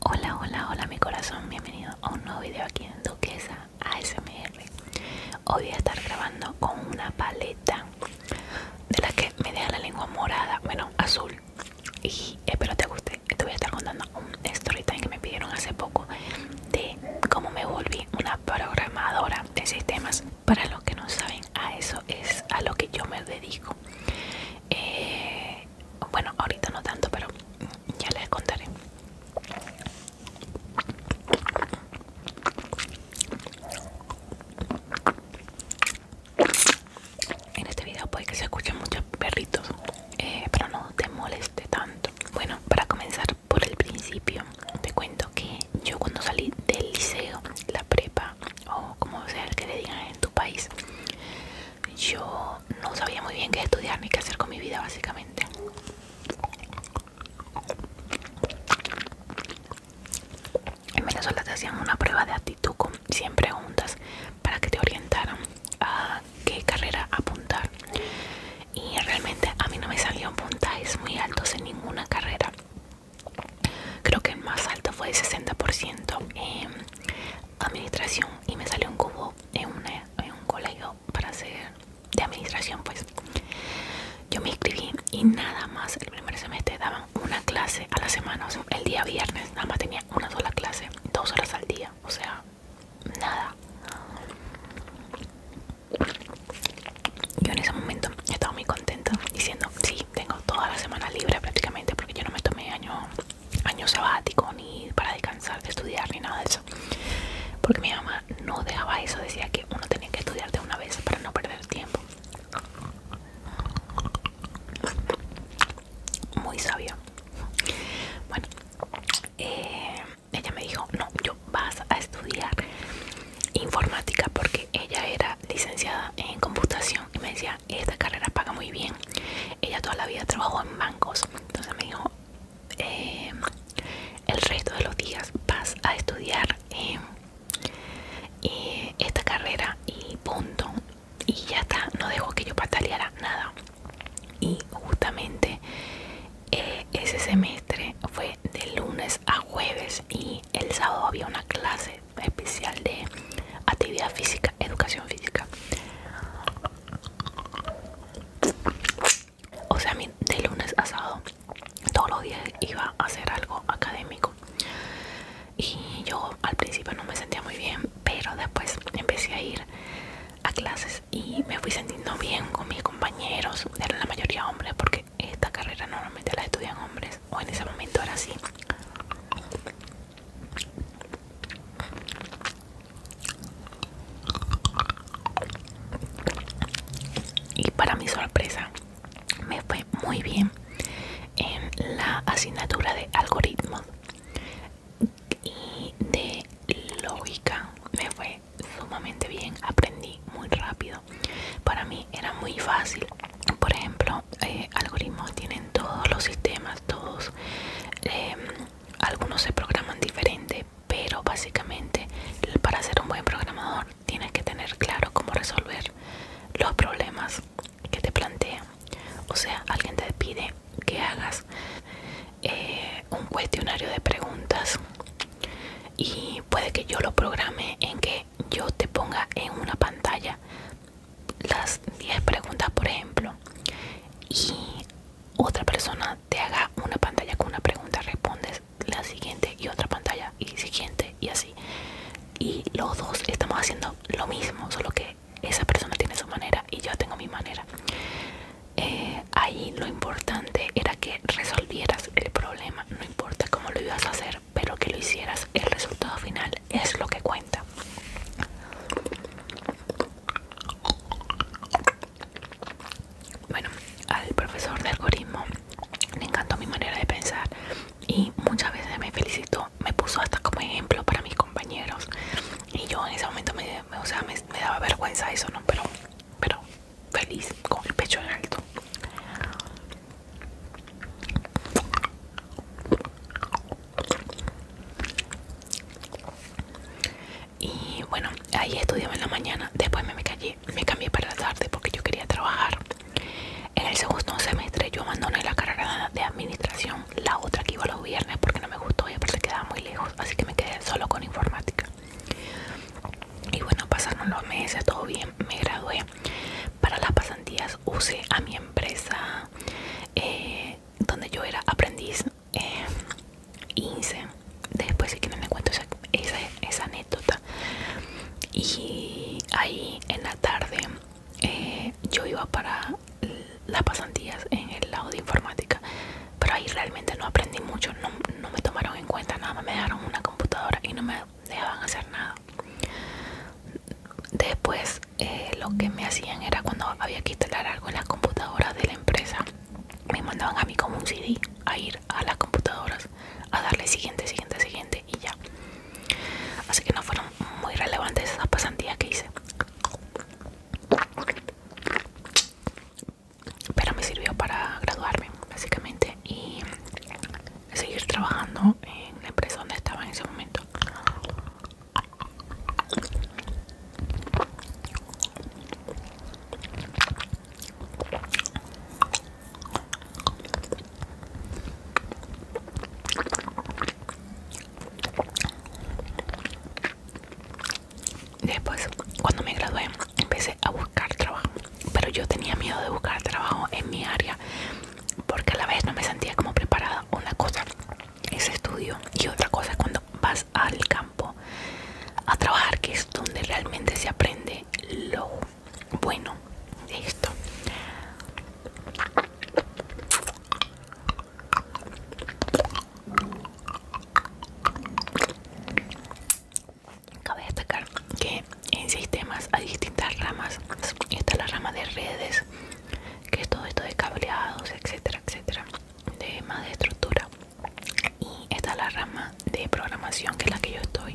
Hola, hola, hola mi corazón, bienvenido a un nuevo video aquí en Duquesa ASMR Hoy voy a estar grabando con una paleta de la que me deja la lengua morada, bueno, azul Y espero te guste, te voy a estar contando un story que me pidieron hace poco De cómo me volví una programadora de sistemas Para los que no saben, a eso es a lo que yo me dedico eh, bueno ahorita no tanto pero ya les contaré en este video puede que se escuchen muchos perritos eh, pero no te moleste tanto bueno para comenzar por el principio te cuento que yo cuando salí del liceo la prepa o como sea el que le digan en tu país yo no sabía muy bien qué estudiar ni qué hacer con mi vida básicamente en Venezuela te hacían una prueba de actitud con 100 preguntas para que te orientaran a qué carrera apuntar y realmente a mí no me salieron puntajes muy altos en ninguna carrera creo que el más alto fue el 60% en administración y me salió un cubo en, un colegio para hacer de administración pues yo me inscribí y nada más el primer semestre daban una clase a la semana el día viernes nada más tenía una sola clase dos horas al día o sea nada yo en ese momento estaba muy contenta diciendo sí tengo toda la semana libre prácticamente porque yo no me tomé año, año sabático ni para descansar de estudiar ni nada de eso. Porque mi mamá no dejaba eso, decía que uno tenía que estudiar de una vez para no perder tiempo. Muy sabia. Bueno, eh, ella me dijo, no, yo vas a estudiar informática porque ella era licenciada en computación y me decía, esta carrera paga muy bien. Ella toda la vida trabajó en bancos. Entonces me dijo, em, el resto de los días vas a estudiar eh, esta carrera y punto. Y ya está, no dejó que yo pataleara nada. Y justamente eh, ese semestre fue de lunes a jueves y el sábado había una clase especial de actividad física, educación física. O sea, de lunes a sábado todos los días iba a hacer algo académico. Y yo al principio no me sentía muy bien, pero después empecé a ir a clases y me fui sintiendo bien con mis compañeros, eran la mayoría hombres, porque esta carrera normalmente la estudian hombres, o en ese momento era así. Y para mi sorpresa, me fue muy bien en la asignatura de algoritmos y de lógica. Me fue sumamente bien, aprendí muy rápido para mí era muy fácil. Por ejemplo, eh, algoritmos tienen todos los sistemas, todos. Em, algunos se programan diferente, pero básicamente para ser un buen programador tienes que tener claro cómo resolver los problemas que te plantean. O sea, alguien te pide que hagas eh, un cuestionario de preguntas y puede que yo lo programe en que yo te ponga en una pantalla las 10 preguntas, por ejemplo, y otra persona te haga una pantalla con una pregunta, respondes la siguiente y otra pantalla y siguiente y así. Y los dos estamos haciendo lo mismo, solo que esa persona tiene su manera y yo tengo mi manera. Eh, ahí lo importante era que resolvieras el problema, no importa cómo lo ibas a hacer, pero que lo hicieras. El resultado final es lo que cuenta. Bueno, al profesor de algoritmo le encantó mi manera de pensar y muchas veces me felicitó, me puso hasta como ejemplo para mis compañeros y yo en ese momento me, daba vergüenza eso, ¿no? Pero, pero feliz, con el pecho en alto. Y bueno, ahí estudiaba en la mañana, después me, me, me cambié para la tarde porque yo quería trabajar. En el segundo semestre yo abandoné la carrera de administración, la otra que iba los viernes porque no me gustó y aparte quedaba muy lejos, así que me quedé solo con informática. Y bueno, pasaron los meses, todo bien, me gradué para las pasantías usé a mi empresa eh, donde yo era aprendiz eh, Después si quieren me cuento esa, anécdota. Y ahí en la tarde eh, yo iba para las pasantías en el lado de informática. Pero ahí realmente no aprendí mucho, no, no me tomaron en cuenta, nada me dejaron una computadora y no me dejaban hacer nada. Después eh, lo que me hacían era cuando había que instalar algo en las computadoras de la empresa, me mandaban a mí como un CD a ir a las computadoras a darle siguiente, siguiente, siguiente y ya. Así que no fueron muy relevantes esas pasantías que hice. Pero me sirvió para graduarme, básicamente y seguir trabajando en la empresa donde estaba en ese momento Después, cuando me gradué, empecé a buscar trabajo pero yo tenía miedo de buscar trabajo en mi área porque a la vez no me sentía como preparada. Una cosa es estudio y otra cosa es cuando vas al campo a trabajar, que es donde realmente se aprende lo bueno de esto. Cabe destacar que en sistemas hay distintas ramas. Esta es la rama de redes, que es todo esto de cableados, etcétera, etcétera, de más de estructura. Y esta es la rama de programación, que es la que yo estoy.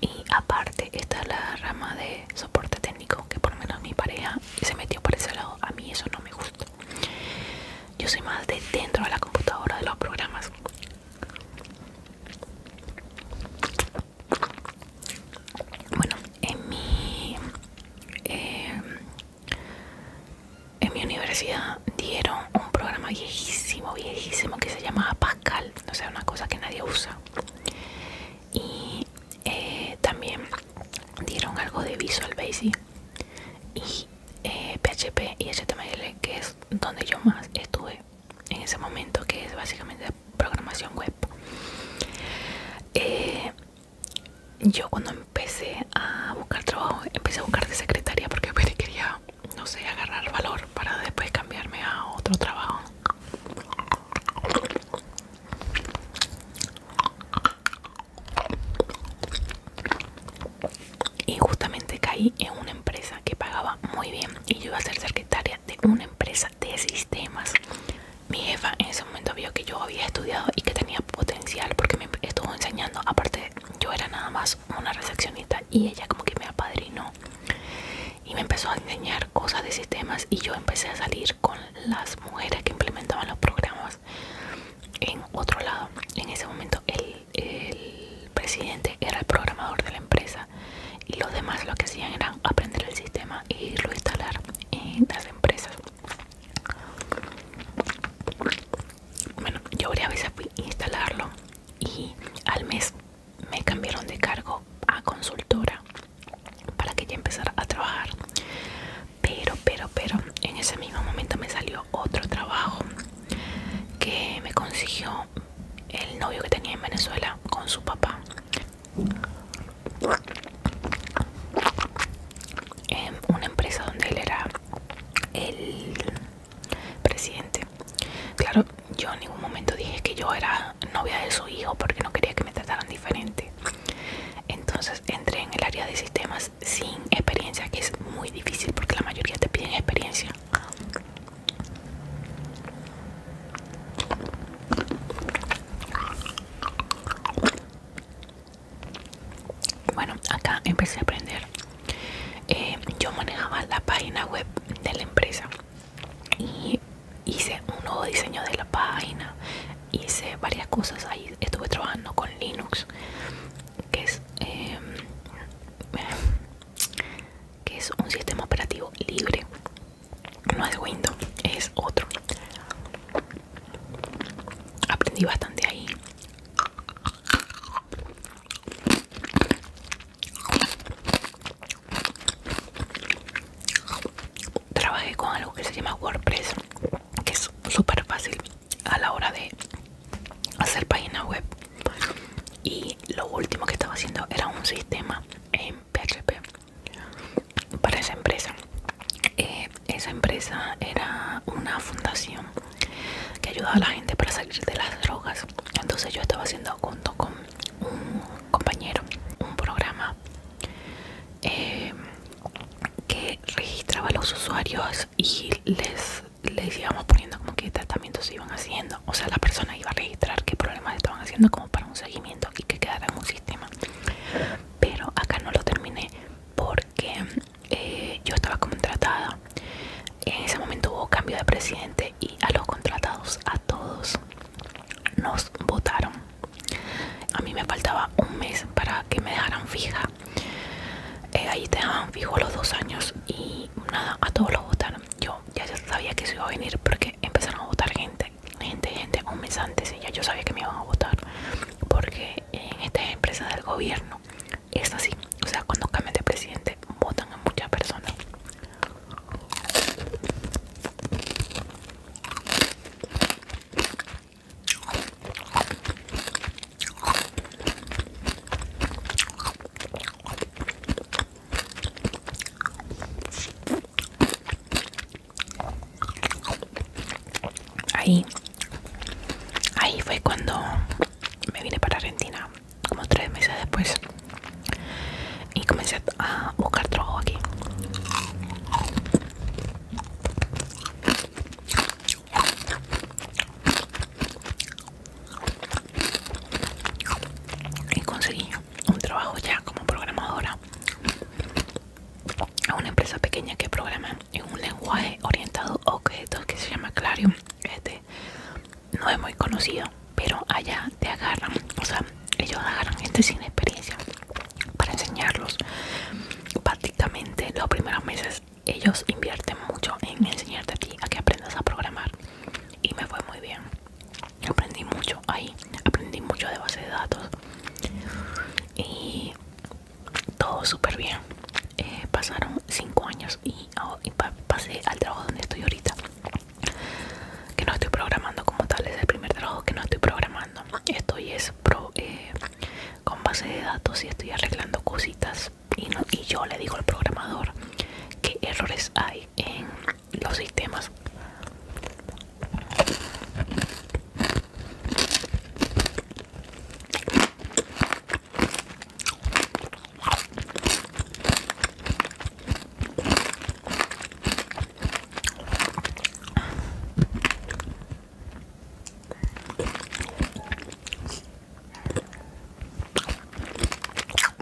Y aparte está la rama de soporte técnico, que por lo menos mi pareja se metió por ese lado. A mí eso no me gusta. Yo soy más de dentro de la computadora de los programas. Bueno, en mi em, en mi universidad dieron un programa viejísimo, viejísimo que se llamaba Pascal, no sea, una cosa que nadie usa. Y eh, también dieron algo de Visual Basic y PHP eh, y HTML, que es donde yo más estuve en ese momento, que es básicamente programación web. Eh, yo cuando empecé a buscar trabajo, empecé a buscar de secretaria porque quería, no sé, agarrar valor para después cambiarme a otro trabajo y justamente caí en una empresa que pagaba muy bien y yo iba a ser secretaria de una empresa de sistemas mi jefa en ese momento vio que yo había estudiado y que tenía potencial porque me estuvo enseñando aparte yo era nada más una recepcionista y ella como que me apadrinó y me empezó a enseñar cosas de sistemas y yo empecé a salir con las mujeres que implementaban los programas en otro lado en ese momento el el presidente era el programador de la empresa y los demás lo que hacían era aprender el sistema e irlo a instalar en las empresas. Bueno, yo varias veces fui a instalarlo y al mes me cambiaron de cargo a consultora para que ya empezara a trabajar. Pero, pero, pero, en ese mismo momento me salió otro trabajo que me consiguió el novio que tenía en Venezuela con su papá. En una empresa donde él era el presidente. Claro, yo en ningún momento dije que yo era novia de su hijo porque no quería que me trataran diferente. Entonces entré en el área de sistemas sin experiencia que es muy difícil porque la mayoría te piden experiencia bueno acá empecé a aprender eh, yo manejaba la página web de la empresa y hice un nuevo diseño de la página hice varias cosas ahí estuve trabajando con linux que es Em, que es un sistema operativo libre no es Windows es otro aprendí bastante ahí trabajé con algo que se llama WordPress que es súper fácil a la hora de hacer página web y lo último que estaba haciendo era un sistema en PHP para esa empresa eh, esa empresa era una fundación que ayudaba a la gente para salir de las drogas entonces yo estaba haciendo junto con un compañero un programa eh, que registraba a los usuarios y les, les íbamos poniendo como qué tratamientos se iban haciendo. O sea, la persona iba a registrar qué problemas estaban haciendo como para un seguimiento y que quedara en un sistema. Pero acá no lo terminé porque eh, yo estaba contratada. En ese momento hubo cambio de presidente y a los contratados, a todos, nos votaron. A mí me faltaba un mes para que me dejaran fija eh, ahí te dejaban fijo los dos años y nada a todos los votaron yo ya sabía que se iba a venir porque empezaron a votar gente gente gente un mes antes y ya yo sabía que me iban a votar porque en esta empresa del gobierno es así o sea cuando cambia de presidente votan a muchas personas Ahí, ahí fue cuando me vine para Argentina, como tres meses después, y comencé a buscar trabajo aquí y conseguí un trabajo ya como programadora a una empresa pequeña que programa en un lenguaje orientado a objetos que se llama Clarium. Este no es muy conocido, pero allá te agarran, o sea, ellos agarran gente sin experiencia para enseñarlos prácticamente los primeros meses ellos invierten mucho en enseñarte a ti a que aprendas a programar y me fue muy bien aprendí mucho ahí aprendí mucho de base de datos y todo súper bien eh, pasaron cinco años y, oh, pasé al trabajo donde estoy ahorita que no estoy programando como tal es el primer trabajo que no estoy programando estoy es pro, eh, con base de datos y estoy arreglando cositas y, yo le digo al programador qué errores hay en los sistemas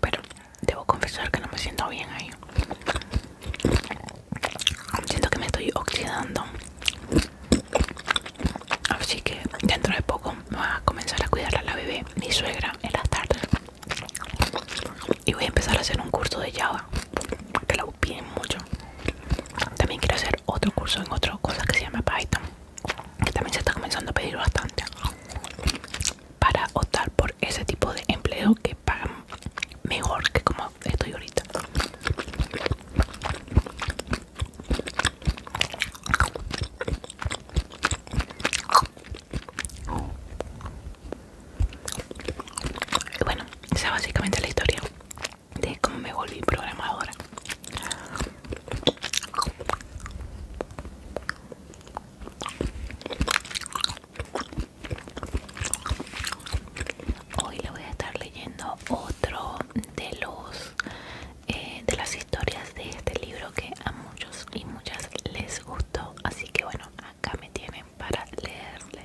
pero debo confesar que no me siento bien ahí. Siento que me estoy oxidando. Así que dentro de poco me voy a comenzar a cuidar a la bebé, mi suegra, en las tardes. Y voy a empezar a hacer un curso de Java piden mucho. También quiero hacer otro curso en otra cosa que se llama Python, que también se está comenzando a pedir bastante para optar por ese tipo de empleo que pagan mejor que como estoy ahorita. Y bueno, esa es básicamente la historia de cómo me volví programadora. Hoy le voy a estar leyendo otro de los eh, de las historias de este libro que a muchos y muchas les gustó, así que bueno, acá me tienen para leerle.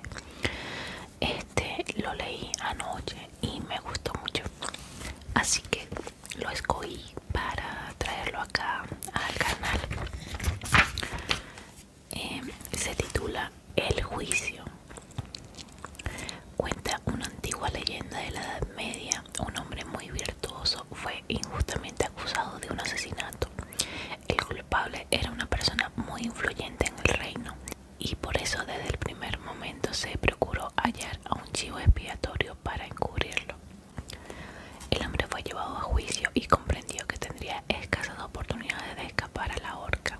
Este lo leí anoche y me gustó mucho. Así que lo escogí para traerlo acá al canal. Em, se titula El juicio. Cuenta una antigua leyenda de la Edad Media. Un hombre muy virtuoso fue injustamente acusado de un asesinato. El culpable era una persona muy influyente en el reino y por eso desde el primer momento se procuró hallar a un chivo expiatorio para encubrirlo. El hombre fue llevado a juicio y comprendió que tendría escasas oportunidades de escapar a la horca.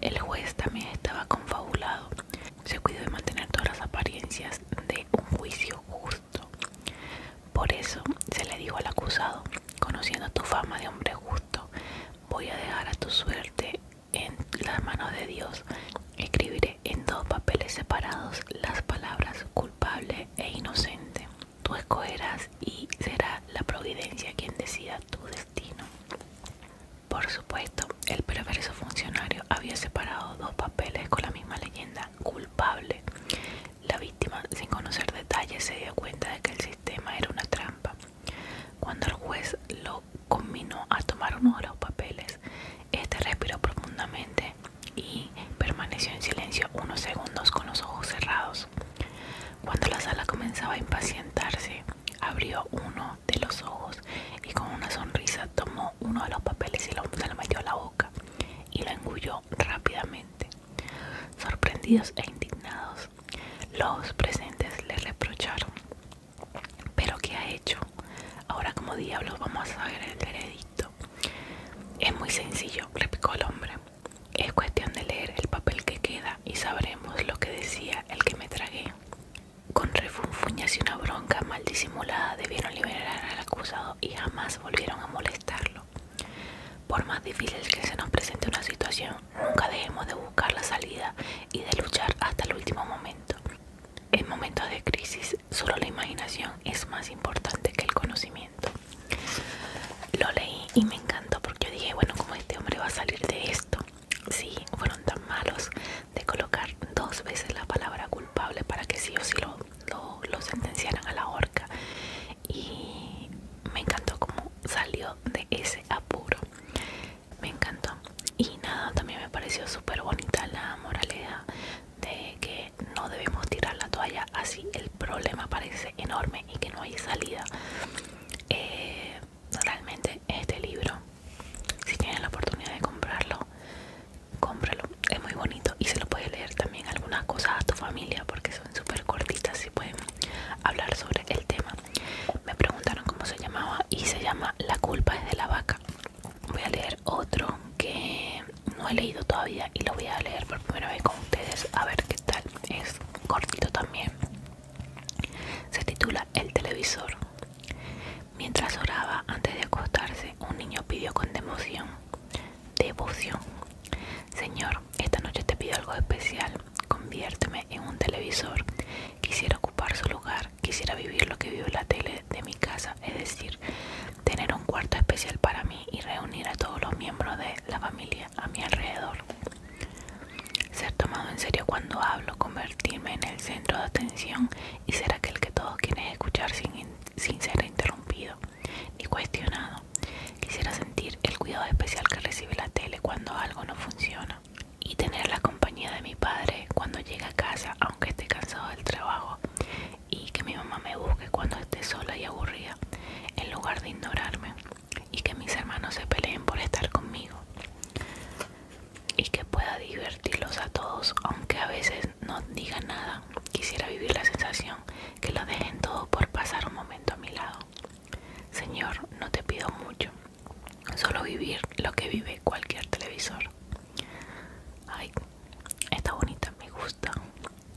El juez también estaba confabulado. Se cuidó de mantener todas las apariencias de un juicio justo. Por eso se le dijo al acusado, conociendo tu fama de hombre justo, voy a dejar a tu suerte en las manos de Dios. Escribiré en dos papeles separados las palabras culpable e inocente. Tú escogerás y será la providencia quien decida tu destino. Por supuesto, el perverso funcionario había separado dos papeles con la misma leyenda culpable la víctima, sin conocer detalles, se dio cuenta de que el sistema era una trampa. Cuando el juez lo combinó a tomar uno de los papeles, este respiró profundamente y permaneció en silencio unos segundos con los ojos cerrados. Cuando la sala comenzaba a impacientarse, abrió uno de los ojos y con una sonrisa tomó uno de los papeles y lo, se lo metió a la boca y lo engulló rápidamente. Sorprendidos e indignados, los presentes le reprocharon. ¿Pero qué ha hecho? Ahora como diablos vamos a saber el veredicto. Es muy sencillo, replicó el hombre. Es cuestión de leer el papel que queda y sabremos lo que decía el que me tragué. Con refunfuñas y una bronca mal disimulada debieron liberar al acusado y jamás volvieron a molestarlo. Por más difícil que se nos presente una situación, nunca dejemos de buscar la salida y de luchar hasta el último momento. En momentos de crisis, solo la imaginación es más importante que el conocimiento. Lo leí y me encantó porque dije, bueno, ¿cómo este hombre va a salir de esto? Sí, fueron tan malos de colocar dos veces la palabra culpable para que sí o sí lo lo, lo a la horca y me encantó cómo salió de ese apuro me encantó y nada también me pareció súper bonita la moralidad de que no debemos tirar la toalla así el problema parece enorme y que no hay salida eh, realmente este libro si tienen la oportunidad de comprarlo cómpralo, es muy bonito y se lo puede leer también algunas cosas a tu familia porque son súper cortitas y pueden hablar sobre el tema. Me preguntaron cómo se llamaba y se llama La culpa es de la vaca. Voy a leer otro que no he leído todavía y lo voy a leer por primera vez con ustedes a ver qué tal. Es cortito también. Se titula El televisor. Mientras oraba antes de acostarse, un niño pidió con devoción Devoción. Señor, esta noche te pido algo especial. Conviérteme en un televisor. Quisiera ocupar su lugar. Quisiera vivir lo que vive la tele de mi casa. Es decir, tener un cuarto especial para mí y reunir a todos los miembros de la familia a mi alrededor. Ser tomado en serio cuando hablo, convertirme en el centro de atención y ser aquel que todos quieren escuchar sin, sin ser interrumpido y cuestionado. Quisiera sentir el cuidado especial que recibe la tele cuando algo no funciona y tener la compañía de mi padre cuando llega a casa aunque esté cansado del trabajo y que mi mamá me busque cuando esté sola y aburrida en lugar de ignorarme y que mis hermanos se peleen por estar conmigo y que pueda divertirlos a todos aunque a veces no diga nada. Quisiera vivir la sensación que lo dejen todo por pasar un momento a mi lado. Señor, no te pido mucho. Solo vivir lo que vive cualquier televisor. Ay, está bonita, me gusta.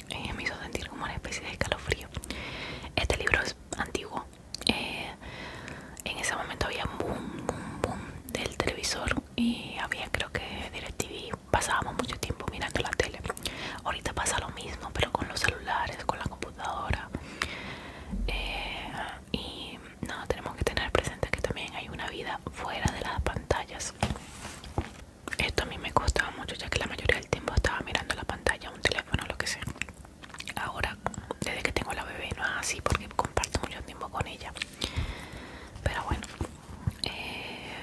Eh, me hizo sentir como una especie de escalofrío. Este libro es antiguo. Eh, en ese momento había boom, boom, boom del televisor y había creo que DirecTV, pasábamos mucho tiempo mirando la tele. Ahorita pasa lo mismo, pero con los celulares, con la computadora. Eh, y no, tenemos que tener presente que también hay una vida fuera de las pantallas. Esto a mí me costaba mucho, ya que la mayoría del tiempo estaba mirando la pantalla, un teléfono, lo que sea. Ahora, desde que tengo la bebé, no es así porque comparto mucho tiempo con ella. Pero bueno. Eh,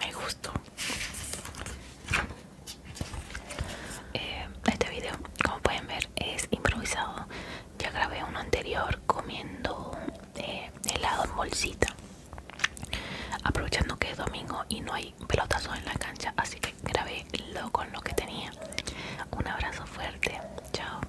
me gustó eh, este video como pueden ver es improvisado ya grabé uno anterior comiendo eh, helado en bolsita aprovechando que es domingo y no hay pelotazos en la cancha así que grabé lo con lo que tenía un abrazo fuerte chao